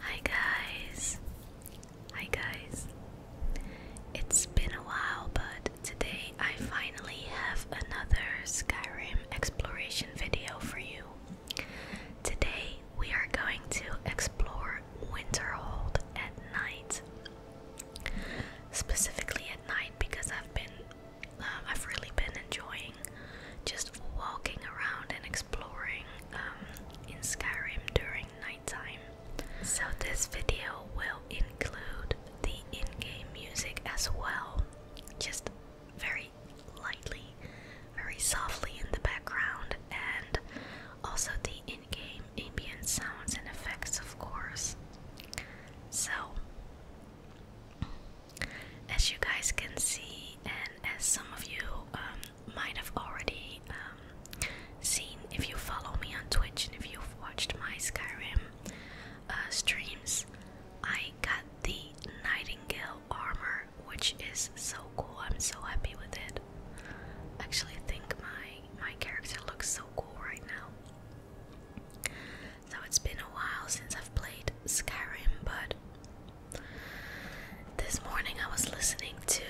Hi guys. Hi guys. It's been a while, but today I finally have another Skyrim exploration video for you. Today we are going to explore Winterhold at night. Specifically at night because I've been um, I've really been enjoying just walking around and exploring um, in Skyrim during nighttime. So, this video will include the in game music as well, just very lightly, very softly in the background, and also the in game ambient sounds and effects, of course. So, as you guys can see, and as some of you um, might have already um, seen if you follow me on Twitch and if you've watched my Skyrim uh, streams, I got the Nightingale armor, which is so cool. I'm so happy with it. Actually, I think my my character looks so cool right now. So it's been a while since I've played Skyrim, but this morning I was listening to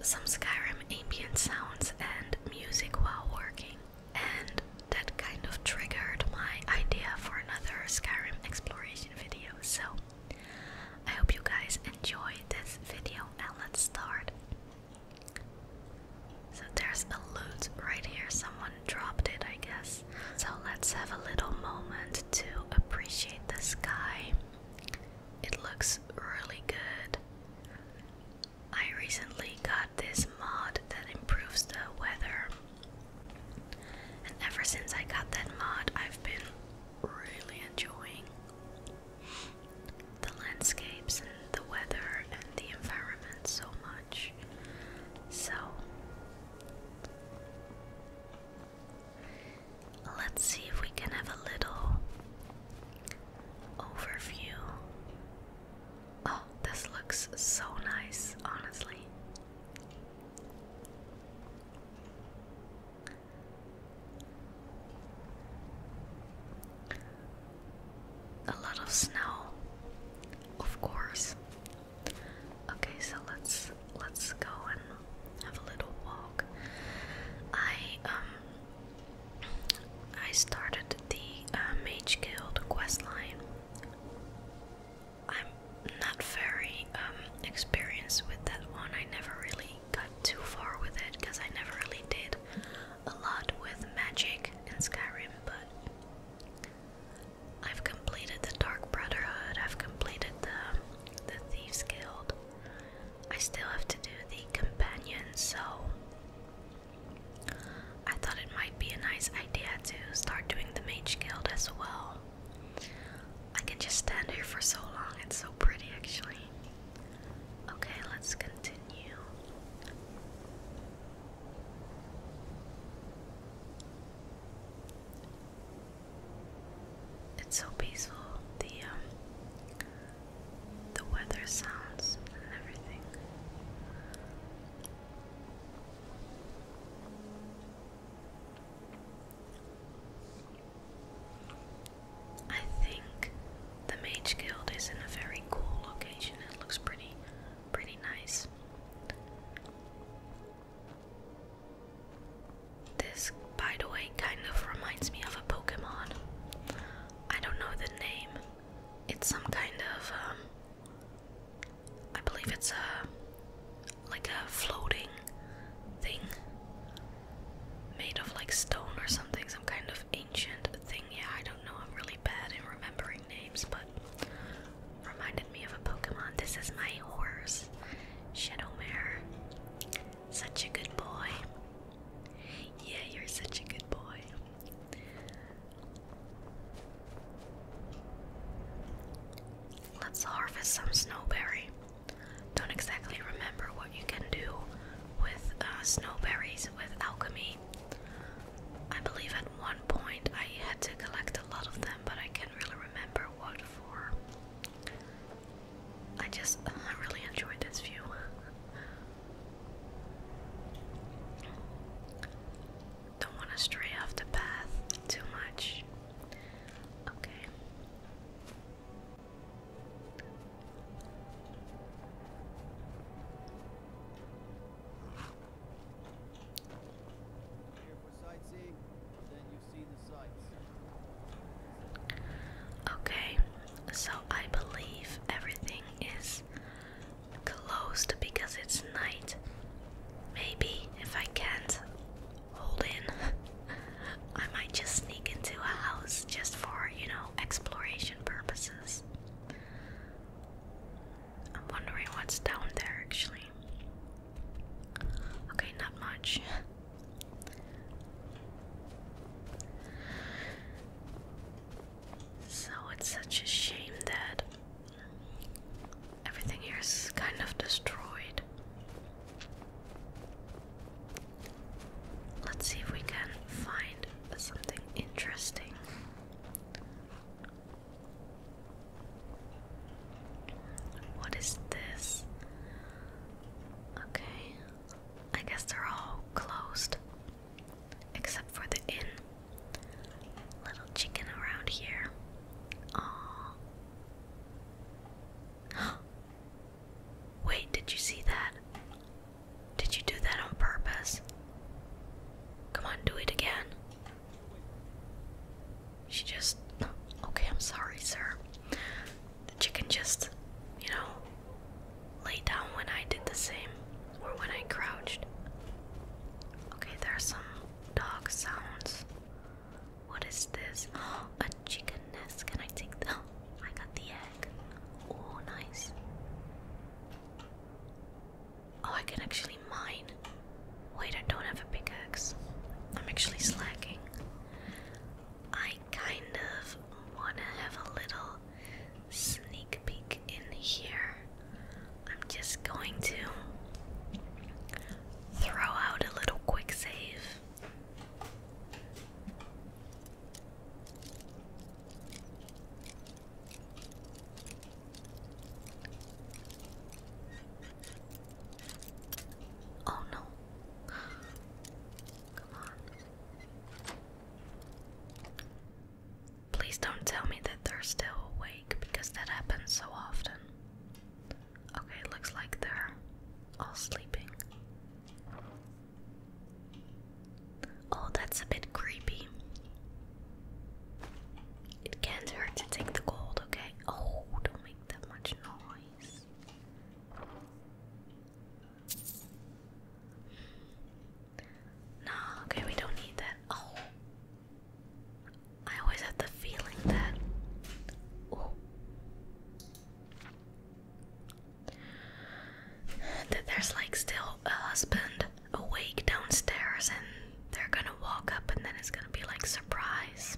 some Skyrim ambient sounds and music while working, and that kind of triggered my idea for another Skyrim exploration video. So I hope you guys enjoy this video, and let's start. So there's a loot right here. Someone dropped it, I guess. So let's have a little moment to appreciate the sky. It looks really good. I recently got this mod that improves the weather. And ever since I got that mod, I've been really enjoying the landscapes and the weather and the environment so much. So let's see if we can have a little overview. Oh, this looks so nice, honestly a lot of snow, of course. Okay, so let's let's go and have a little walk. I um I started the uh, Mage Guild quest line. I'm not very um experienced with that one. I never really got too far with it because I never really did a lot with magic in Skyrim, but I've completed the Dark Brotherhood. I've completed the the Thieves Guild. I still have to do the companion, so I thought it might be a nice idea to start doing the Mage Guild as well. I can just stand here for so long. It's so pretty, actually. Okay, let's continue. It's so peaceful. The um, the weather sounds and everything. I think the Mage Guild is in a very cool location. It looks pretty pretty nice. This, by the way, kind of reminds me of a Pokemon. I don't know the name. It's some kind of, um, I believe it's a, like a floating thing made of like stone or something, some kind of ancient thing. Yeah, I don't know. I'm really bad in remembering names, but reminded me of a Pokemon. This is my horse, Shadow Mare. Such a good boy. Yeah, you're such a good boy. Let's harvest some snowberry. Don't exactly remember what you can do with uh, snowberries with alchemy I believe at one point I had to collect a lot of them, but I can't really remember what for. I just uh, really enjoyed this view. Don't want to stray off the path too much. Okay. Okay, so I believe everything is closed because it's night. Maybe if I can't hold in, I might just sneak into a house just for, you know, exploration purposes. I'm wondering what's down there actually. Okay, not much. so it's such a shame that everything here is kind of destroyed. Let's see if we can find something interesting. What is this? Okay. I guess they're all closed. Except for the inn. Little chicken around here. Aww. Wait, did you see that? Did you do that on purpose? Come on, do it again. She just. Okay, I'm sorry, sir. The chicken just, you know, lay down when I did the same, or when I crouched. Okay, there are some dog sounds. What is this? Oh, a chicken nest. Can I take the. I got the egg. Oh, nice. Oh, I can actually mine. Wait, I don't have a pickaxe. I'm actually slacking. I kind of want to have a little sneak peek in here. I'm just going to throw out a little quick save. Oh no. Come on. Please don't tell me that they're still awake because that happens so often. Okay, looks like they're all sleeping. Oh, that's a bit creepy. It can't hurt to take the gold, okay? Oh, don't make that much noise. No, okay, we don't need that. Oh, I always have the feeling that. Oh that there's like still a husband awake downstairs and they're gonna walk up and then it's gonna be like surprise.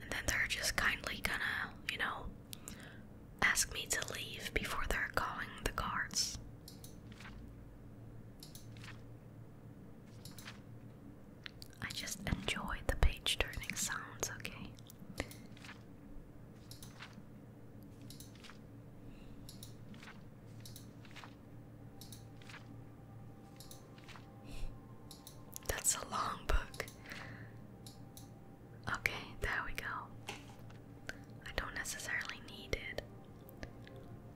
And then they're just kindly gonna, you know, ask me to leave before they're calling the guards. I just enjoy the page turning sounds, okay? That's a long book. Okay, there we go. I don't necessarily need it.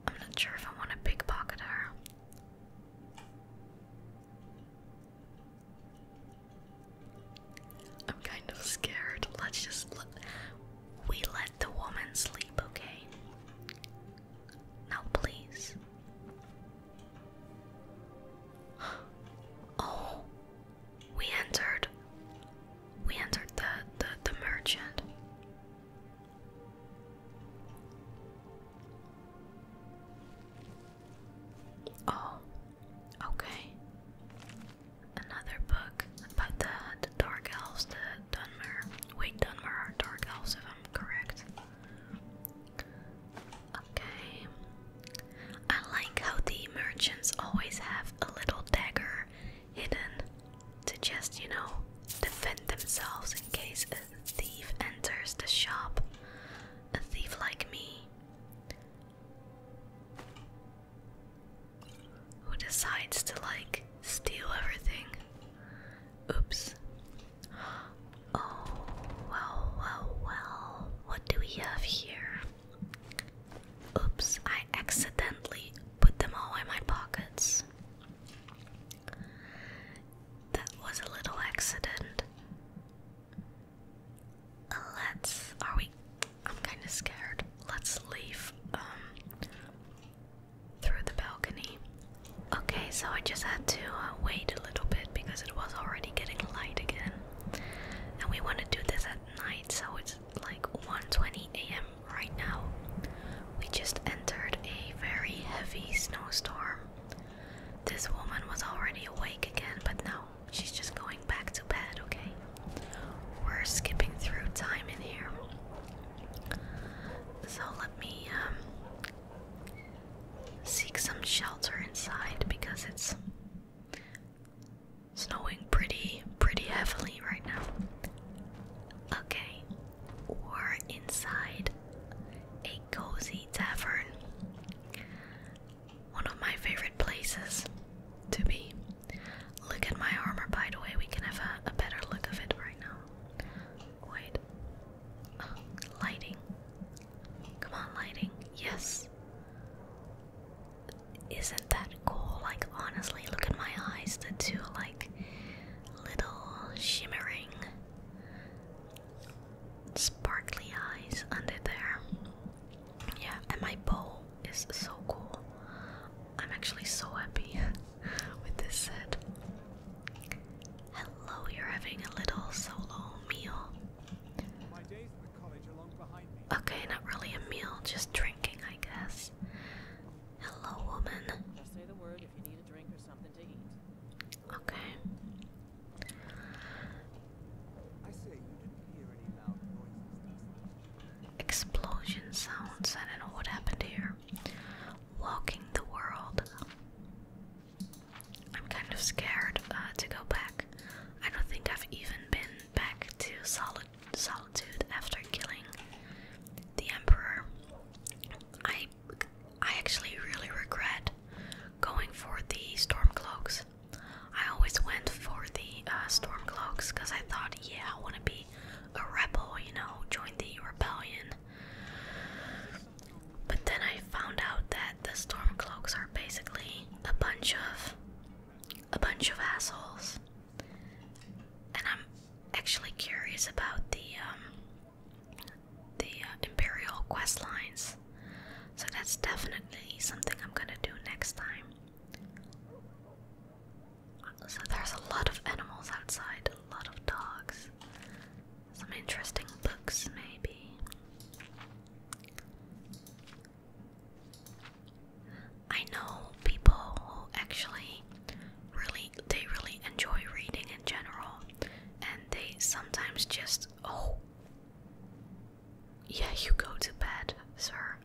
I'm not sure if I want a pickpocket her. I'm kind of scared. Let's just we let the woman sleep, okay? Now please. Oh, we entered. We entered the the, the merchant. Oh, okay another book about the, dark elves, the Dunmer. Wait, Dunmer dark elves, if I'm correct. Okay. I like how the merchants always have a little dagger hidden to just, you know, defend themselves in case a thief enters the shop. A thief like me. Who decides to like steal everything? Oops. Oh, well, well, well. What do we have here? Oops, I accidentally put them all in my pockets. That was a little accident. Let's. Are we? I'm kind of scared. Let's leave um, through the balcony. Okay, so I just had to uh, wait a little bit because it was already getting light again, and we want to do this at night. So it's like 1:20 a.m. right now. We just entered a very heavy snowstorm. This woman was already awake again, but now she's just going back to bed, okay? We're skipping through time in here. So let me um, seek some shelter inside because it's snowing pretty, pretty heavily right now. Okay, we're inside a cozy tavern. One of my favorite places to be. Look at my armor, by the way. We can have a, better look of it right now. Wait. Uh, lighting. Come on, lighting. Yes. Isn't that cool? Like, honestly, look at my eyes. The two, like, little shimmering, sparkly eyes under there. Yeah, and my bowl is so cool. I'm actually so happy with this set. Hello, you're having a little solo meal. Okay, not really a meal, just drinking, I guess. Hello, woman. Just say the word if you need a drink or something to eat. Okay. Explosion sounds. I don't know what happened here. Walking the world. I'm kind of scared uh, to go back. I don't think I've even been back to Solid Solitude after killing the Emperor. I I actually really regret going for the storm cloaks I always went for the uh, stormcloaks because I thought, yeah, I want to be a rebel, you know, join the rebellion. But then I found out that the stormcloaks are basically a bunch of a bunch of assholes, and I'm actually curious about the um, the uh, imperial quest lines. So that's definitely something I'm gonna do next time. So there's a lot of animals outside, a lot of dogs. Some interesting books, maybe. I know people who actually really they really enjoy reading in general and they sometimes just oh yeah, you go to bed, sir.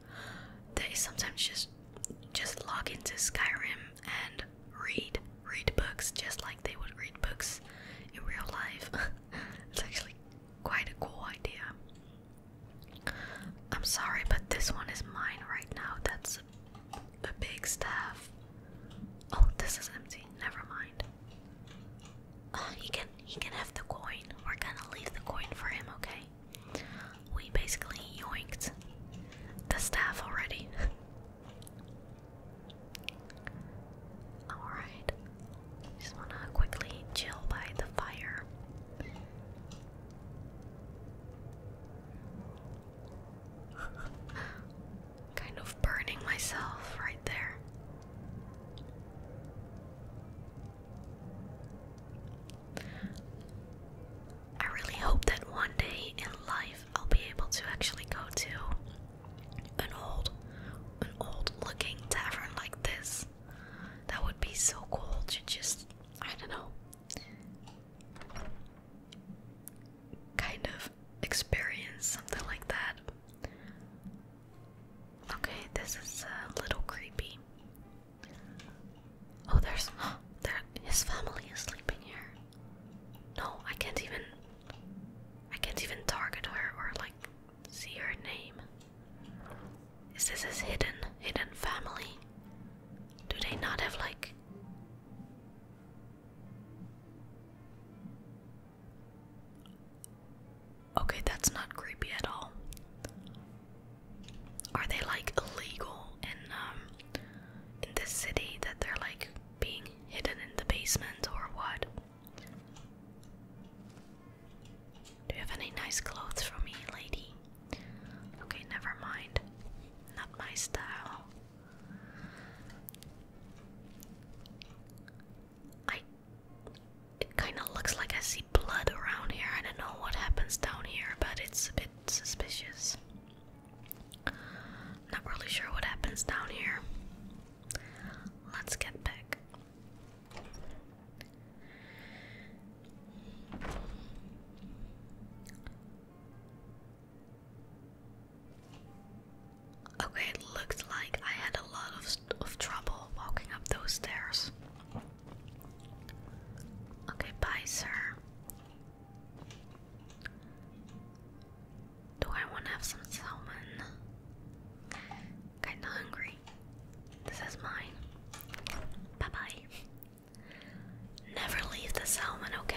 They sometimes just just log into Skyrim and read read books just like they would read books in real life. it's actually quite a cool idea. I'm sorry, but this one is mine right now. That's a, big staff. Oh, this is empty. Never mind. Uh, he can he can have the coin. We're gonna leave the coin for him, okay? We basically yoinked the staff already. Alright. Just wanna quickly chill by the fire. kind of burning myself right there. I really hope that one day in life I'll be able to actually go to an old, an old-looking tavern like this. That would be so cool to just, I don't know, kind of experience something like that. Okay, this is uh, a little creepy. Oh, there's there. His family is sleeping here. No, I can't even. I can't even target her or like see her name. Is this his hidden hidden family? Do they not have like? Okay, that's not creepy at all. Are they like illegal in um, in this city that they're like being hidden in the basement or what? Do you have any nice clothes for me, lady? Okay, never mind. Not my style. I it kind of looks like I see blood around here. I don't know what happens down here, but it's a bit suspicious. Not really sure what happens down here. Let's get back. Okay, it looks like I had a lot of, trouble walking up those stairs. Okay, bye, sir. Do I want to have some salmon? Kinda hungry. This is mine. Bye bye. Never leave the salmon, okay?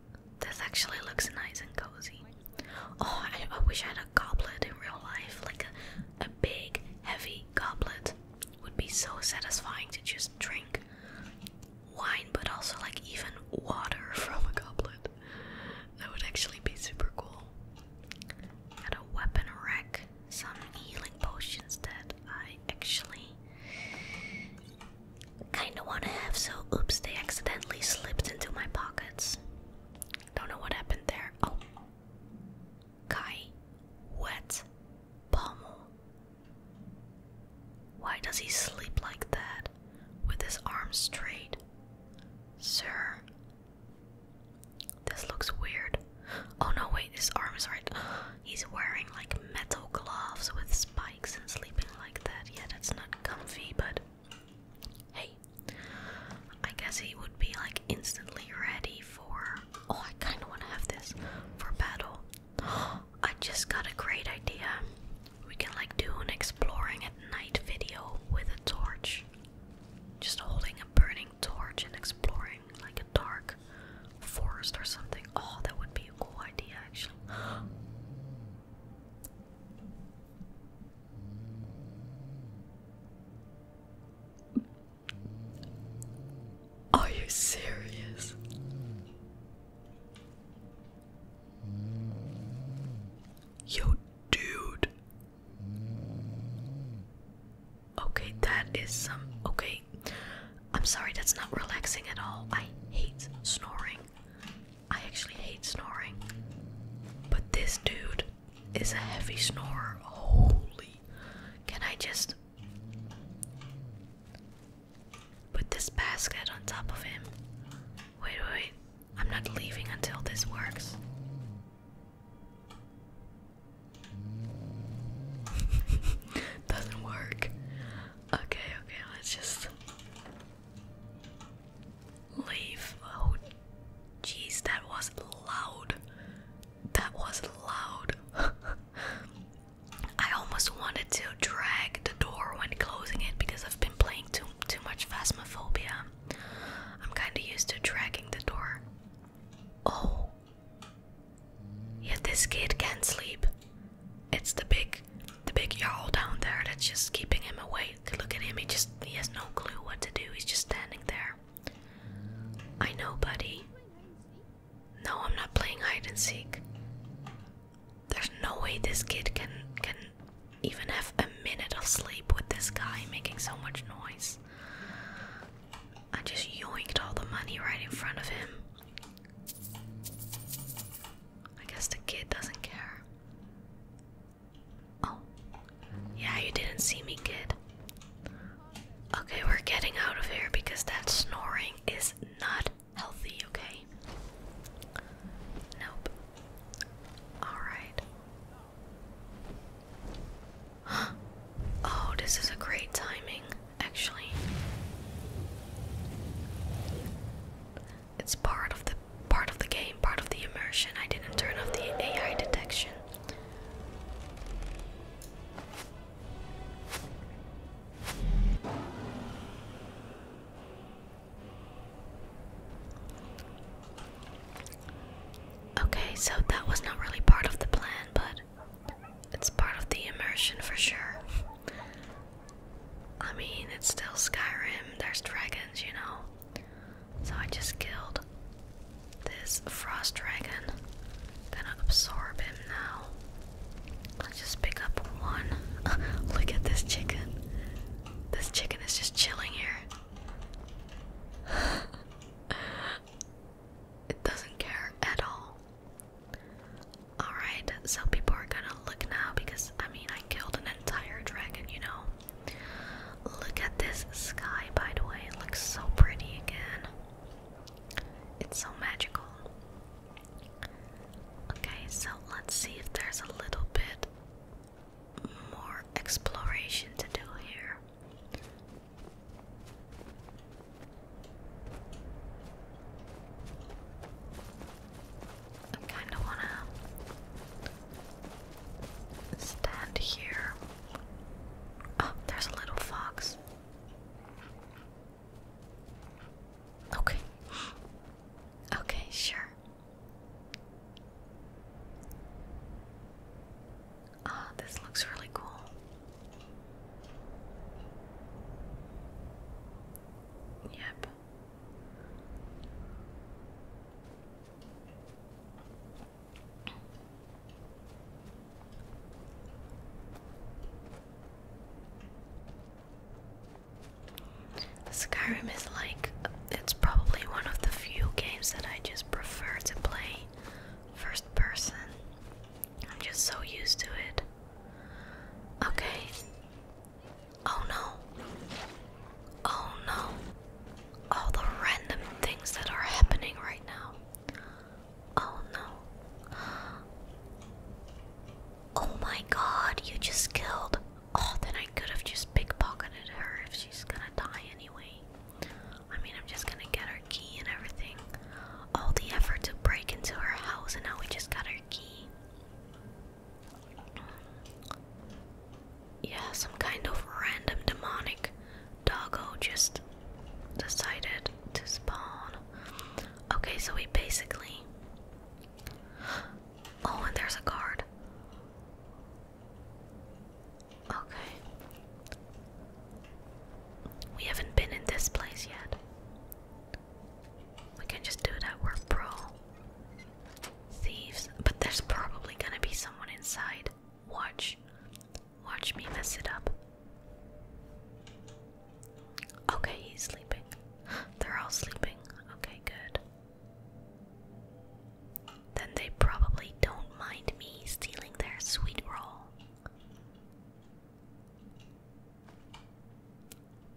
This actually looks nice and cozy. Oh, I, wish I had a goblet in real life, like a, a big, heavy goblet. Would be so satisfying to just drink wine, but also like even water from a goblet. That would actually be super cool. Got a weapon rack, some healing potions that I actually Kinda wanna have, so oops, they accidentally slipped into my pockets. Don't know what happened there. Oh. Kai. Wet. Pommel. Why does he sleep like that? With his arms straight? Sir. This looks weird. Oh no, wait, his arms are He's wearing like metal gloves with spikes and sleeping like that. Yeah, that's not comfy, but Hey, I guess he would be like instantly ready for. Oh, I kind of want to have this for battle. I just got a great idea. We can like do an exploring at night video with a torch. Just holding a burning torch and exploring like a dark forest or something. Oh, that would be a cool idea actually. Are you serious? Yo, dude. Okay, that is some. Okay. I'm sorry, that's not relaxing at all. I hate snoring. I actually hate snoring, but this dude is a heavy snorer. Holy. Can I just put this basket on top of him? Wait, wait, wait. I'm not leaving until this works. Doesn't work. Okay, okay, let's just Leave. Oh, jeez, that was loud. That was loud. I almost wanted to drag the door when closing it because I've been playing too too much Phasmophobia. I'm kind of used to dragging the door. Oh, yeah, this kid can't sleep it's the big the big yowl down there that's just keeping him awake. Look at him, he just he has no clue what to do. He's just standing there. I know, buddy. No, I'm not playing hide and seek. There's no way this kid can can even have a minute of sleep with this guy making so much noise. I just yoinked all the money right in front of him. I guess the kid doesn't care. Oh, yeah, you didn't see me, kid. Okay, we're getting out of here because that snoring is not healthy, okay? Nope. Alright. Oh, this is a great timing, actually. It's part of the part of the game, part of the immersion. I didn't turn off the AI detection. Okay, so that was not really part of the plan, but it's part of the immersion for sure. I mean, it's still Skyrim, there's dragons, you know. So I just killed this frost dragon. Gonna absorb him now. Let's just pick up one. Look at this chicken. This chicken is just chilling here. it doesn't care at all. Alright, so people are gonna look now because I mean, I killed an entire dragon, you know? Look at this sky, by the way. It looks so pretty again. It's so magical. Okay, so let's see if there's a little bit more exploration to do here. I kind of want to stand here. Oh, there's a little fox. Okay. Okay, sure. Oh, this looks really cool. Yep. Skyrim is like, it's probably one of the few games that I just prefer to play first person. I'm just so used to it. Okay, Oh no. Oh no. All the random things that are happening right now. Oh no. Oh my god, you just killed. Oh, then I could have just pickpocketed her if she's gonna die anyway. I mean, I'm just gonna get her key and everything. All the effort to break into her house, and now we just got her key. Yeah, some kind of random demonic doggo just decided to spawn. Okay, so we basically. Oh, and there's a card. Okay. We haven't been in this place yet. We can just do that. We're pro thieves. But there's probably gonna be someone inside. Watch. Watch me mess it up. Okay, he's sleeping. They're all sleeping. Okay, good. Then they probably don't mind me stealing their sweet roll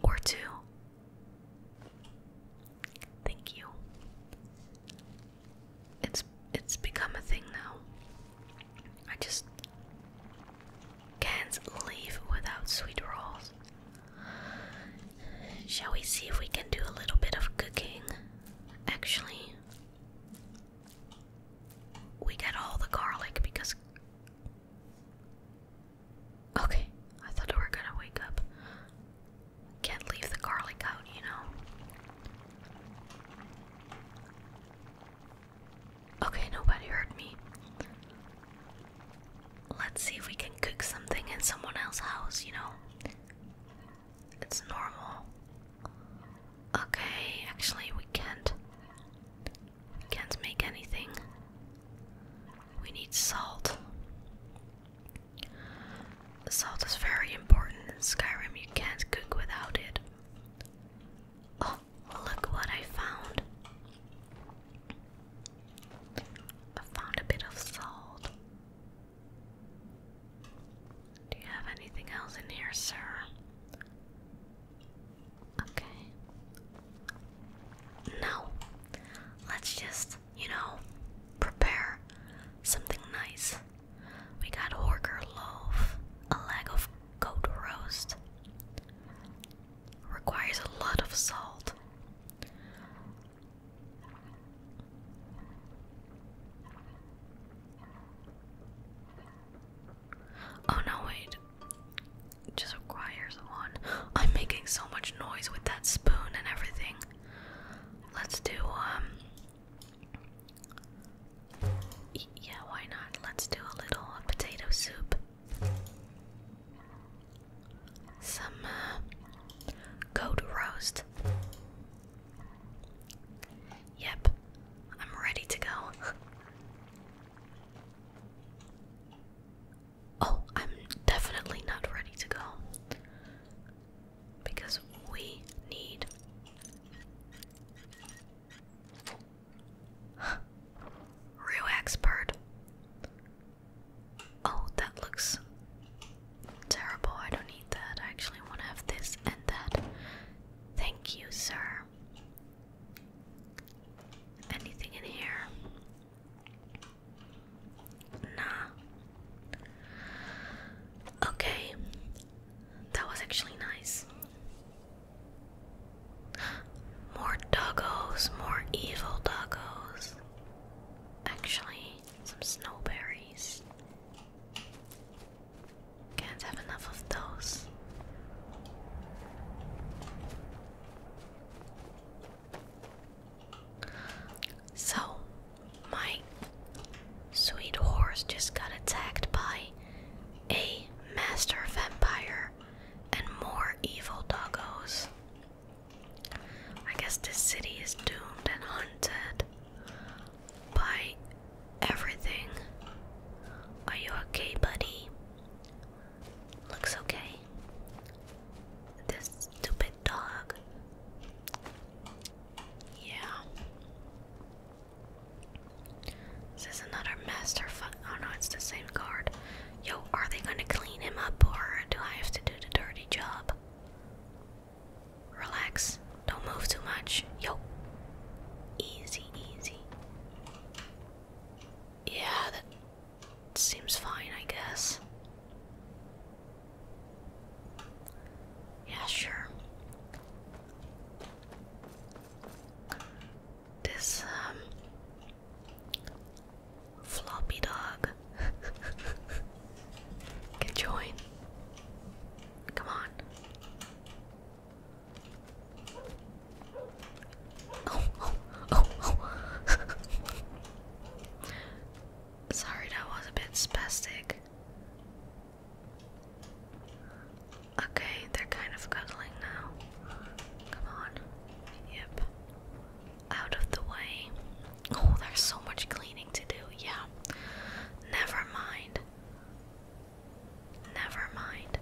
or two. Thank you. It's it's become a thing now. I just can't leave without sweet rolls. Shall we see if we can do a little bit of cooking? Actually, we got all the garlic because Okay, I thought we were gonna wake up. Can't leave the garlic out, you know. Okay, nobody heard me. Let's see if we can cook something in someone else's house, you know. It's normal. Okay, actually, we can't. Can't make anything. We need salt. Salt is very important in Skyrim. You can't cook without it. Oh, look what I found. I found a bit of salt. Do you have anything else in here, sir? Okay. Now, let's just, you know, prepare something nice. We got horker loaf, a leg of goat roast. Requires a lot of salt. Oh no, wait. Just requires one. I'm making so much noise with that spoon and everything. Let's do, um. Yeah, why not? Let's do a little potato soup. Some, uh. Goat roast. Yep, I'm ready to go. Oh, I'm definitely not ready to go. Because we need. Real expert. Oh, that looks terrible. I don't need that. I actually want to have this and that. Thank you, sir. Anything in here? Nah. Okay. That was actually nice. More doggos, more evil doggos. Actually, some snowberries. Can't have enough of those. So, my sweet horse just got attacked by a master vampire and more evil doggos. I guess this city is doomed and haunted by everything. Are you okay, buddy? looks okay. This stupid dog. Yeah. This Is another master fuck? Oh no, it's the same card. Yo, are they gonna clean him up or do I have to do the dirty job? Relax. Don't move too much. Yo. Easy, easy. Yeah, seems fine, I guess. Yeah, sure. This um, floppy dog can join. Come on. Oh, oh, oh, Sorry, that was a bit spastic. Okay, they're kind of cuddling now. Come on. Yep. Out of the way. Oh, there's so much cleaning to do. Yeah. Never mind. Never mind.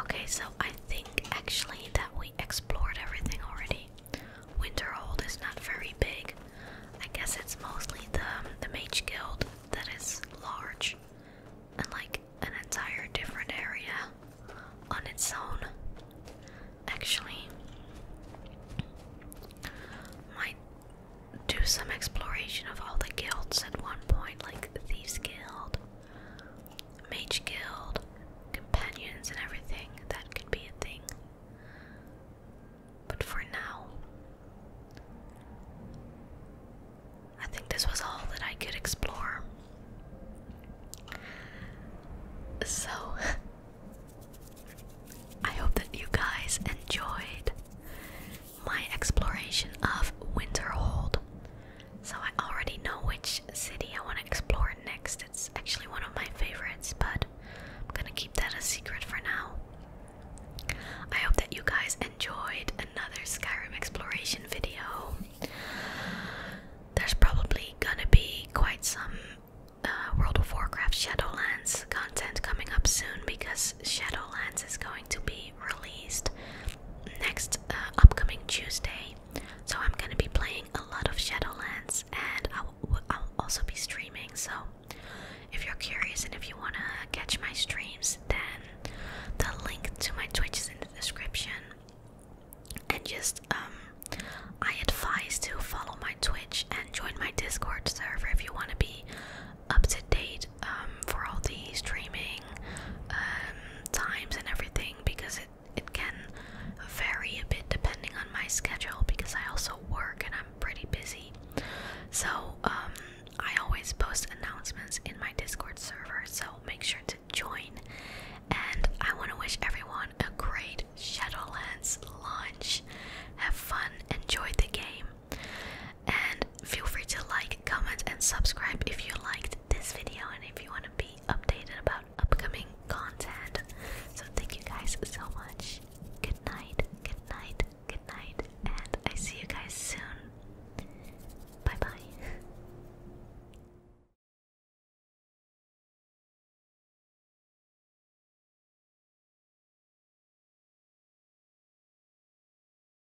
Okay, so I think actually that we explored everything already. Winterhold is not very big. I guess it's mostly the um, the mage guild that is large and like an entire different area on its own. Actually, might do some exploration of all the guilds at one point, like the Thieves Guild, Mage Guild, companions, and everything. That could be a thing. But for now, I think this was all that I could explore. So, I hope that you guys enjoyed my exploration of Winterhold. So I already know which city I want to explore next. It's actually one of my favorites, but I'm gonna keep that a secret for now. I hope that you guys enjoyed another Skyrim exploration video. There's probably gonna be quite some uh, World of Warcraft Shadowlands content coming up soon because Shadowlands is going to be released next uh, upcoming Tuesday. So I'm gonna be playing a lot of Shadowlands, and I'll, also be streaming. So if you're curious and if you wanna catch my streams, then the link to my Twitch is in the description. And just um, I advise to follow my Twitch and join my Discord server if you wanna be up to date um, for all the streaming um, times and everything because it it can vary a bit depending on my schedule because I also work and I'm pretty busy. So um, I always post announcements in my Discord server, so make sure to join. And I want to wish everyone a great Shadowlands launch. Have fun, enjoy the game and feel free to like, comment, and subscribe if you liked this video and if you want to be updated about upcoming content. So, thank you guys so much. Good night, good night, good night, and I see you guys soon. Bye bye.